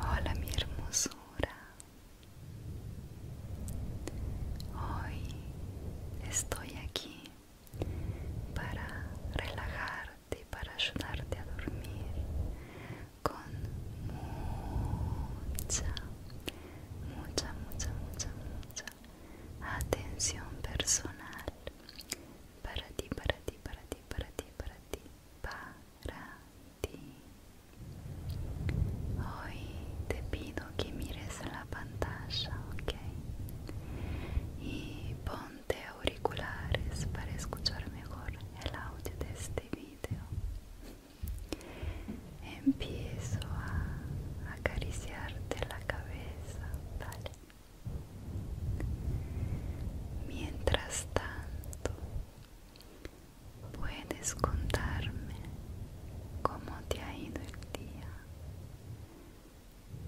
Hola mi hermosura. Hoy estoy aquí para relajarte, para ayudarte a dormir con mucha, mucha, mucha, mucha, mucha atención personal para ti, para ti, para ti para ti, para ti, para ti. Hoy te pido que mires la pantalla, ¿ok? Y ponte auriculares para escuchar mejor el audio de este video. Empiezo a acariciarte la cabeza, Mientras tanto, puedes contarme cómo te ha ido el día.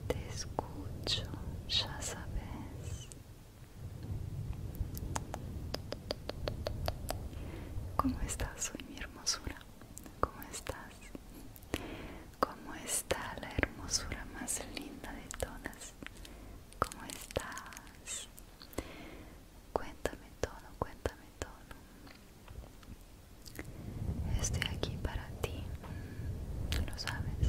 Te escucho, ya sabes. ¿Cómo estás hoy, mi hermosura? ¿Cómo estás? ¿Cómo está la hermosura más linda de todas? ¿Cómo estás? Cuéntame todo, cuéntame todo. Estoy aquí para ti, lo sabes.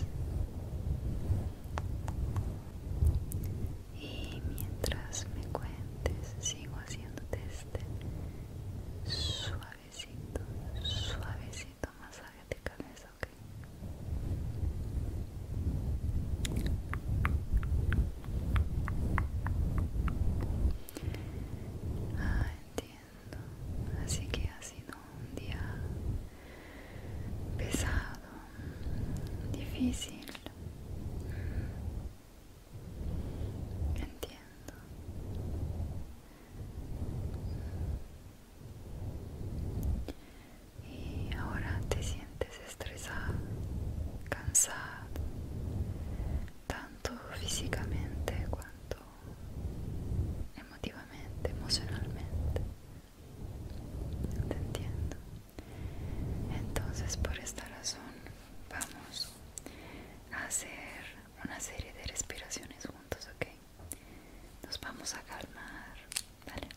Y mientras me cuentes, sigo haciéndote este suavecito, suavecito masaje de cabeza. Ah, entiendo. Así que ha sido un día pesado, difícil. Entiendo. Y ahora te sientes estresado, cansado, tanto físicamente cuanto emotivamente, emocionalmente. Te entiendo. Entonces por esta razón vamos a hacer una serie de respiraciones juntos, ¿ok? Nos vamos a calmar, ¿vale?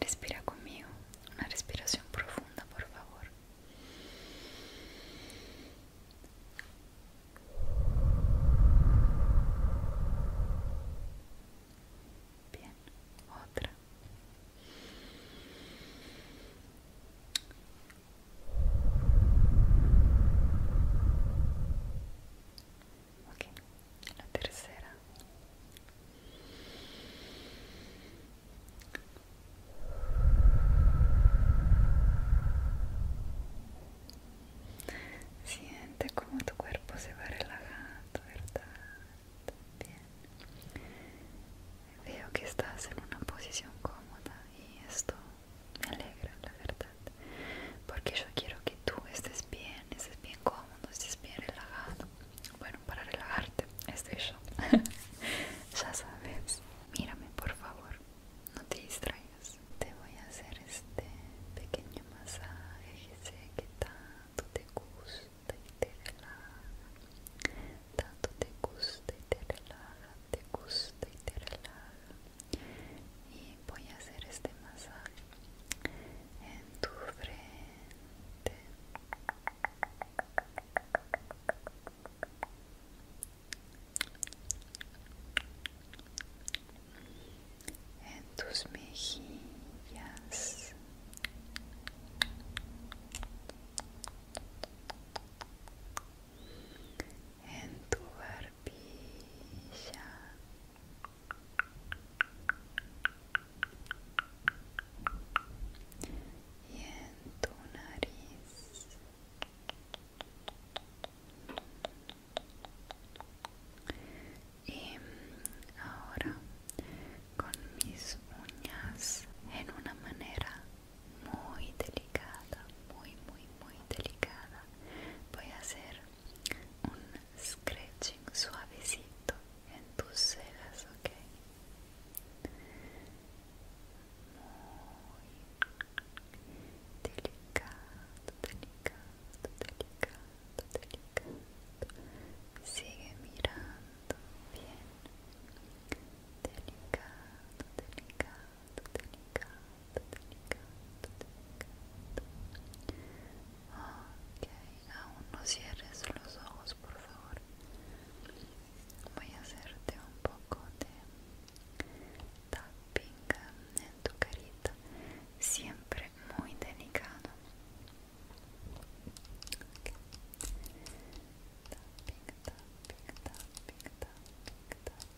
Respira conmigo, una respiración profunda, por favor. Bien, otra. Ok, la tercera. Siente como tu cuerpo se va relajando, ¿verdad? Bien. Veo que estás en una posición cómoda y esto me alegra la verdad porque yo quiero que tú estés bien estés bien cómodo estés bien relajado bueno para relajarte estoy yo ya sabes mírame por favor no te distraigas te voy a hacer este pequeño masaje que sé que tanto te gusta y te relaja tanto te gusta y te relaja te gusta y te relaja y voy a hacer este masaje en tu frente en tus mejillas en tu barbilla y en tu nariz y ahora con mis uñas en una manera muy delicada muy muy muy delicada voy a hacer un scratching suavecito en tus celas, ok muy delicado delicado delicado delicado sigue mirando bien delicado delicado Delicado, delicado, delicado Ok, aún no cierres los ojos, por favor. Voy a hacerte un poco de tapping en tu carita, siempre muy delicado. Ok Tapping, tapping, tapping, tapping, tapping.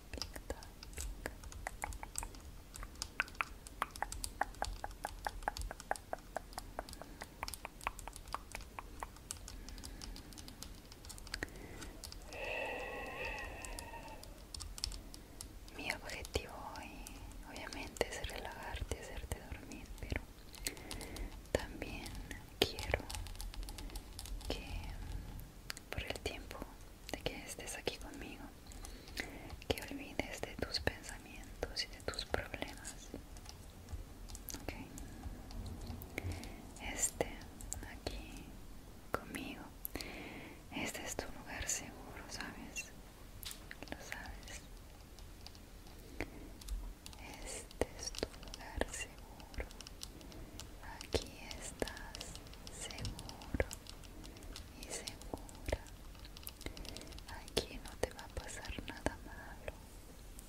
Mi objetivo hoy obviamente es relajarte, hacerte dormir, pero también quiero que por el tiempo de que estés aquí conmigo, que olvides de tus pensamientos y de tus problemas. Okay. Este aquí conmigo, este es tu lugar seguro, ¿sabes? Lo sabes. Este es tu lugar seguro seguro. Aquí estás seguro y segura. Aquí no te va a pasar nada malo.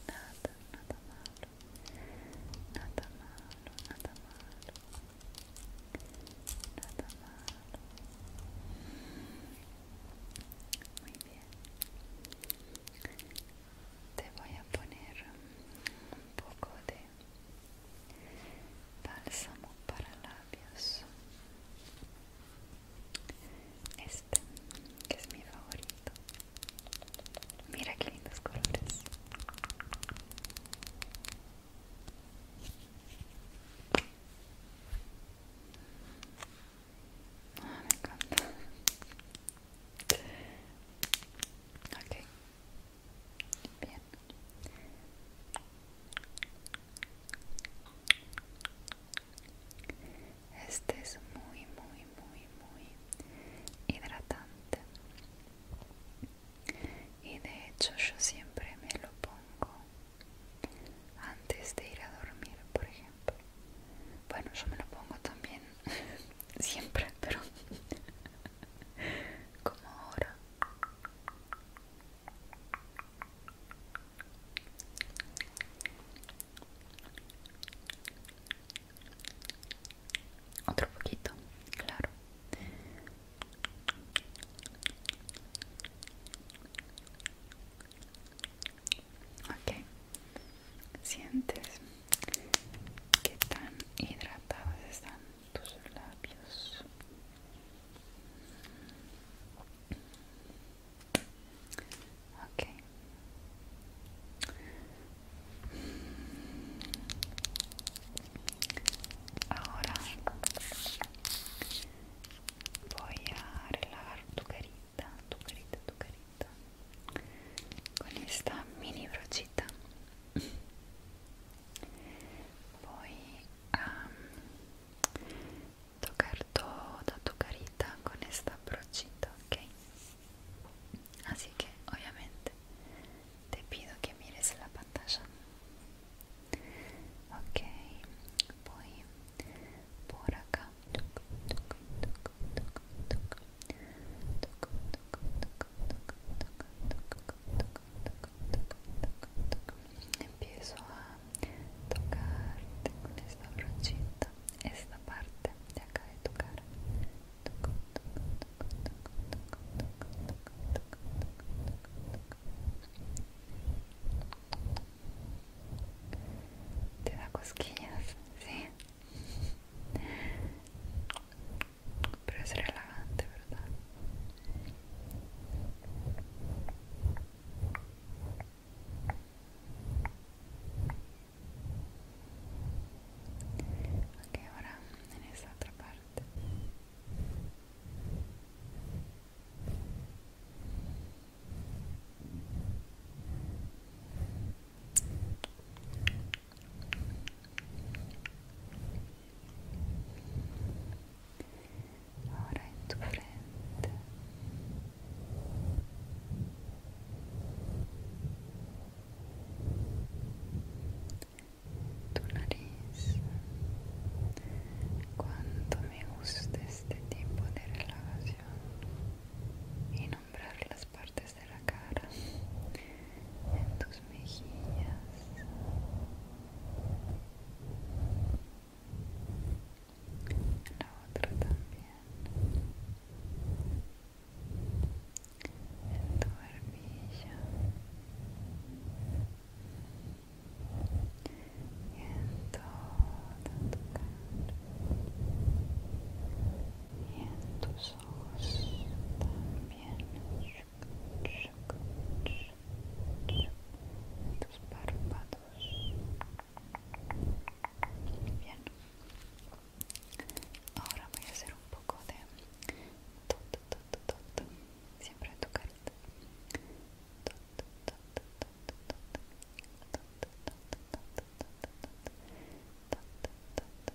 Nada, nada malo. Nada malo, nada malo. Nada malo. Muy bien. Te voy a poner un poco de bálsamo para labios este que es mi favorito mira qué lindos colores ah, me encanta. Ok, Bien. Este es muy, muy, muy, muy hidratante. Y de hecho yo siempre me lo pongo antes de ir a dormir, por ejemplo. Bueno, yo me lo pongo también siempre, pero como ahora otro poquito claro okay sientes que tan hidratadas están tus labios ok ahora voy a relajar tu carita tu carita tu carita con esta mini brochita Voy a um, tocar toda tu carita con esta brochita, ¿ok? Así que obviamente te pido que mires la pantalla. Ok, voy por acá. Empiezo a tocar con esta brochita, esta parte de acá de tu Te da cosquillas, sí. Pero es relajante, ¿verdad? Ok, ahora en esa otra parte ahora en tu frente tu nariz cuánto me gusta este tipo de relajación y nombrar las partes de la cara, en tus mejillas. en La otra también en tu barbilla y en toda tu cara y en tus huesos también tus párpados bien ahora voy a hacer un poco de tot, tot, tot, siempre de tu carita tot, tot, tot, tot, tot, tot, tot, tot, tot, tot, tot,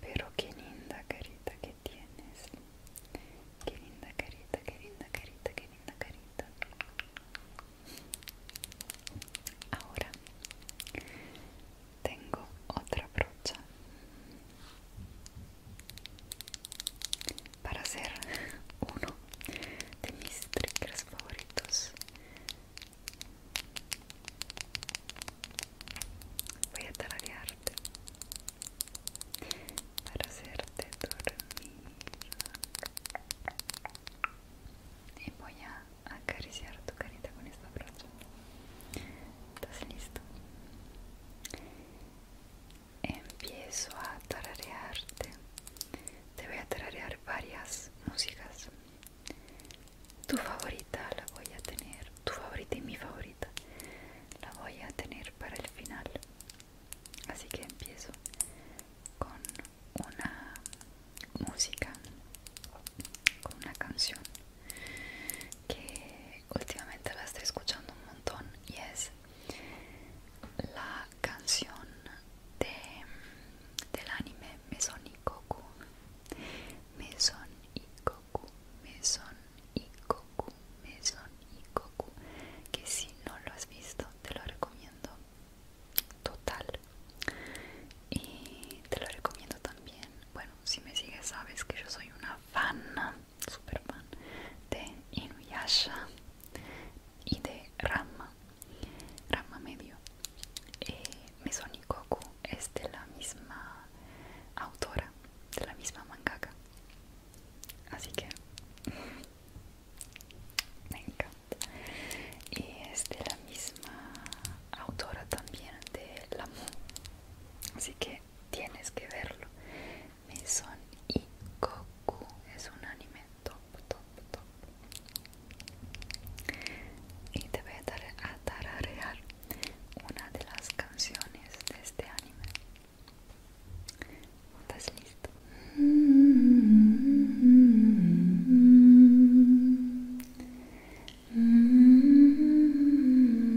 Pero qué linda carita que tienes. Qué linda carita, qué linda carita, qué linda carita. Ahora tengo otra brocha para hacer uno de mis triggers favoritos voy a tararearte para hacerte dormir y voy a acariciar tu carita con esta brazo estás listo empiezo a tararearte. Te voy a tararear varias músicas. Tu favorita la voy a tener, tu favorita y mi favorita la voy a tener para el final. Así que empiezo con una música, con una canción que últimamente la estoy escuchando un montón y es la canción del anime Meson y Goku Meson y y y que si no lo has visto te lo recomiendo total y te lo recomiendo también bueno si me sigues sabes que yo soy una fan Superman, de Inuyasha y de Rama Rama medio. Y eh, Mesoni es de la misma autora, de la misma mangaka. Así que me encanta. Y es de la misma autora también de Lamu. Así que tienes que verlo. Me y Goku es un anime top, top, top. Y te voy a dar a tararear una de las canciones de este anime. ¿Estás listo? Mm. Mm.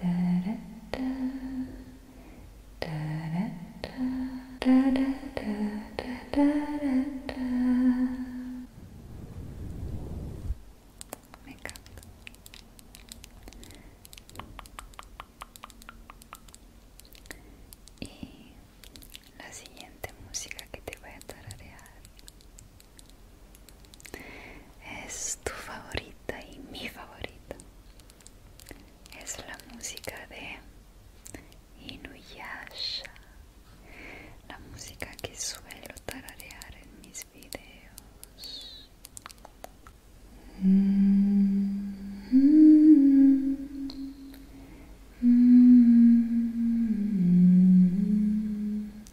Me encanta. Y la siguiente música que te voy a tararear es tu favorita y mi favorita es la música de Inuyasha la música que suelo tararear en mis videos mm-hmm. Mm-hmm.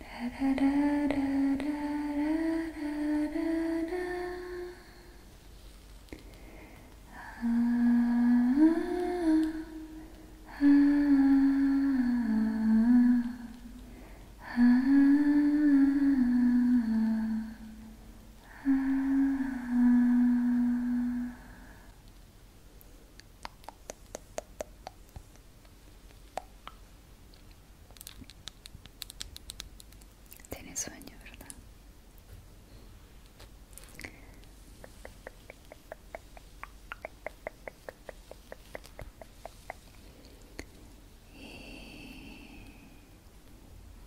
da, da, da, da, da, da, da, da. Ah, ah, ah, ah, ah, Tienes sueño, ¿verdad? Y...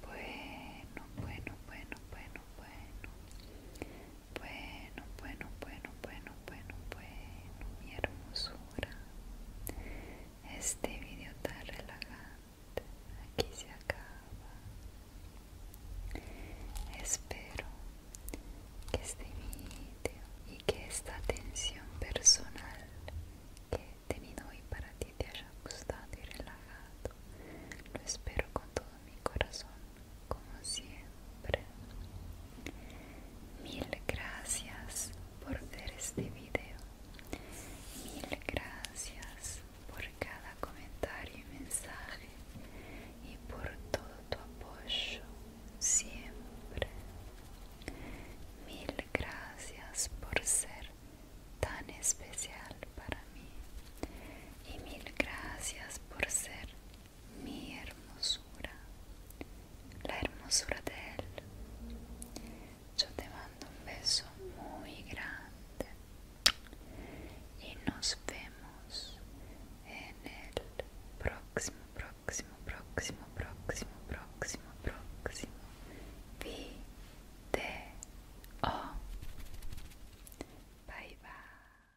Bueno, bueno, bueno, bueno, bueno. Bueno, bueno, bueno, bueno, bueno, bueno, mi hermosura. Este video tan relajante aquí se acaba. Espero que este video y que esta atención personal que he tenido hoy para ti te haya gustado y relajado. Lo espero con todo mi corazón como siempre. Mil gracias por ver este video. Mil gracias por cada comentario y mensaje y por todo tu apoyo siempre. Mil gracias por ser tan especial para mí y mil gracias por ser mi hermosura, la hermosura de él. Yo te mando un beso muy grande y nos vemos en el próximo, próximo, próximo, próximo, próximo, próximo O. Bye bye.